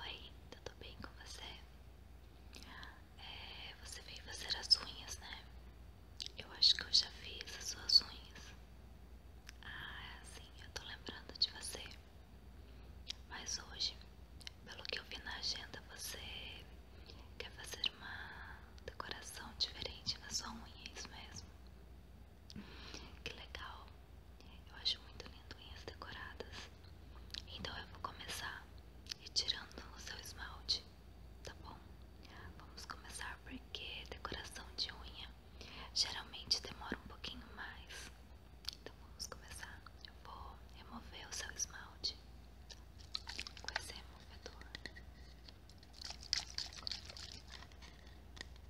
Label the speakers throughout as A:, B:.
A: Oi, tudo bem com você? É, você veio fazer as unhas, né? Eu acho que eu já fiz as suas unhas. Ah, sim, eu tô lembrando de você. Mas hoje, pelo que eu vi na agenda, você quer fazer uma decoração diferente na sua unha, é isso mesmo? Que legal. Eu acho muito lindo unhas decoradas. Então eu vou começar retirando o seu esmalte, tá bom? Vamos começar porque decoração de unha geralmente demora um pouquinho mais. Então vamos começar. Eu vou remover o seu esmalte com esse removedor.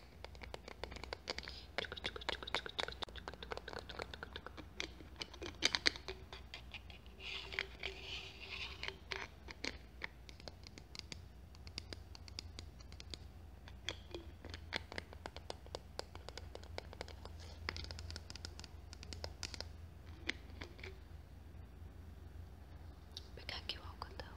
A: Vou pegar aqui o algodão.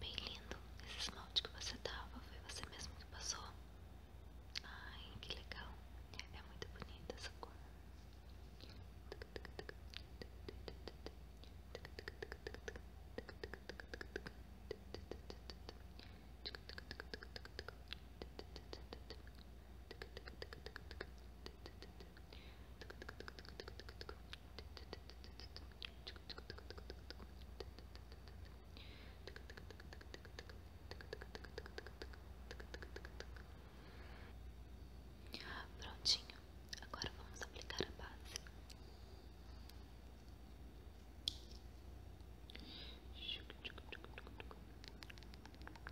A: Bem lindo, esse esmalte que você tava, foi você mesmo que passou? Ai, que legal, é muito bonita essa cor. Muito Prontinho, agora vamos aplicar a base. Tic, tic, tic, tic, tic.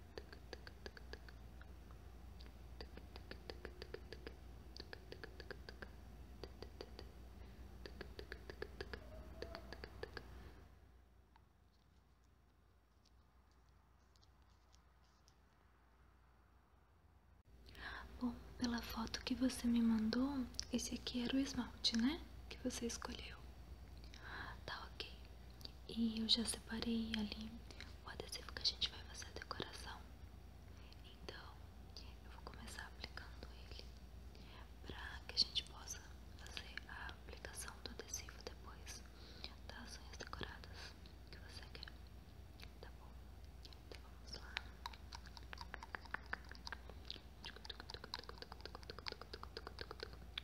A: Bom, pela foto que você me mandou, esse aqui era o esmalte, né? Que você escolheu. Tá ok. E eu já separei ali o adesivo que a gente vai fazer a decoração. Então, eu vou começar aplicando ele para que a gente possa fazer a aplicação do adesivo depois das unhas decoradas que você quer. Tá bom? Então vamos lá.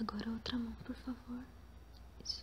A: Agora outra mão, por favor. Isso.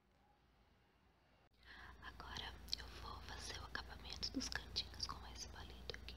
A: Agora eu vou fazer o acabamento dos cantinhos com esse palito aqui.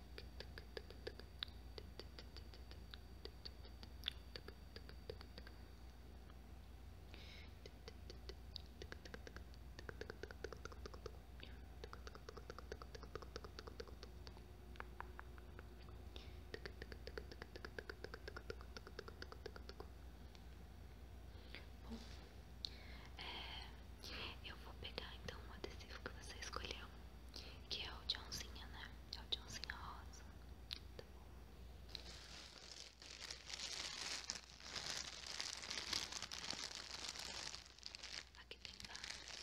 A: Bom, é, eu vou pegar então o adesivo que você escolheu que é o Johnzinha, né? É o Johnzinha rosa. Tá bom. Aqui tem vários.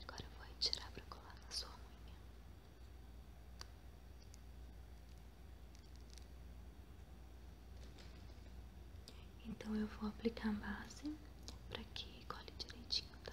A: Agora vou tirar para colar na sua unha. Então eu vou aplicar a base para que cole direitinho, tá?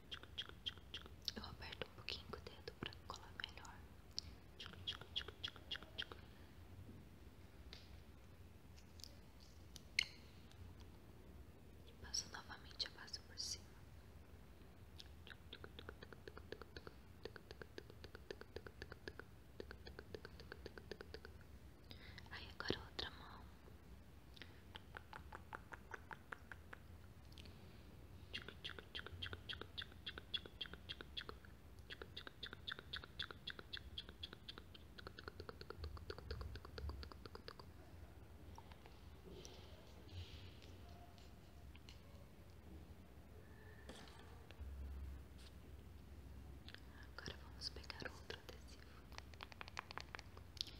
A: Eu aperto um pouquinho o dedo para colar melhor. E passo novamente a base por cima. Aí agora outra mão. Agora vamos pegar outro adesivo.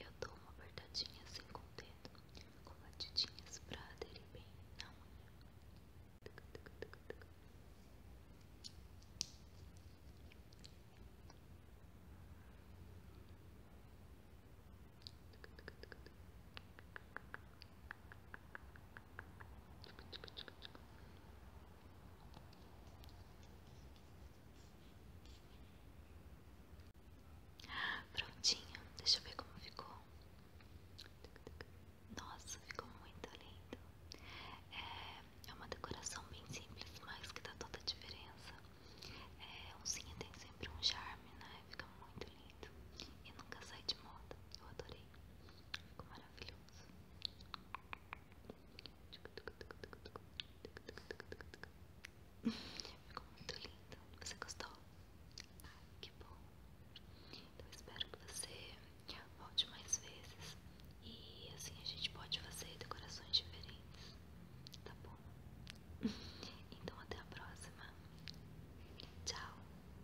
A: Eu dou uma apertadinha assim com dedo, com batidinhas pra aderir bem na unha. Prontinho, deixa eu ver como ficou. Nossa, ficou muito lindo. É, é uma decoração bem simples, mas que dá toda a diferença. É, tem sempre um charme, né? Fica muito lindo. E nunca sai de moda. Eu adorei. Ficou maravilhoso. Ficou muito lindo. Você gostou? Ai, que bom. Então espero que você volte mais vezes e assim a gente pode fazer decorações diferentes. Tá bom? Então até a próxima. Tchau.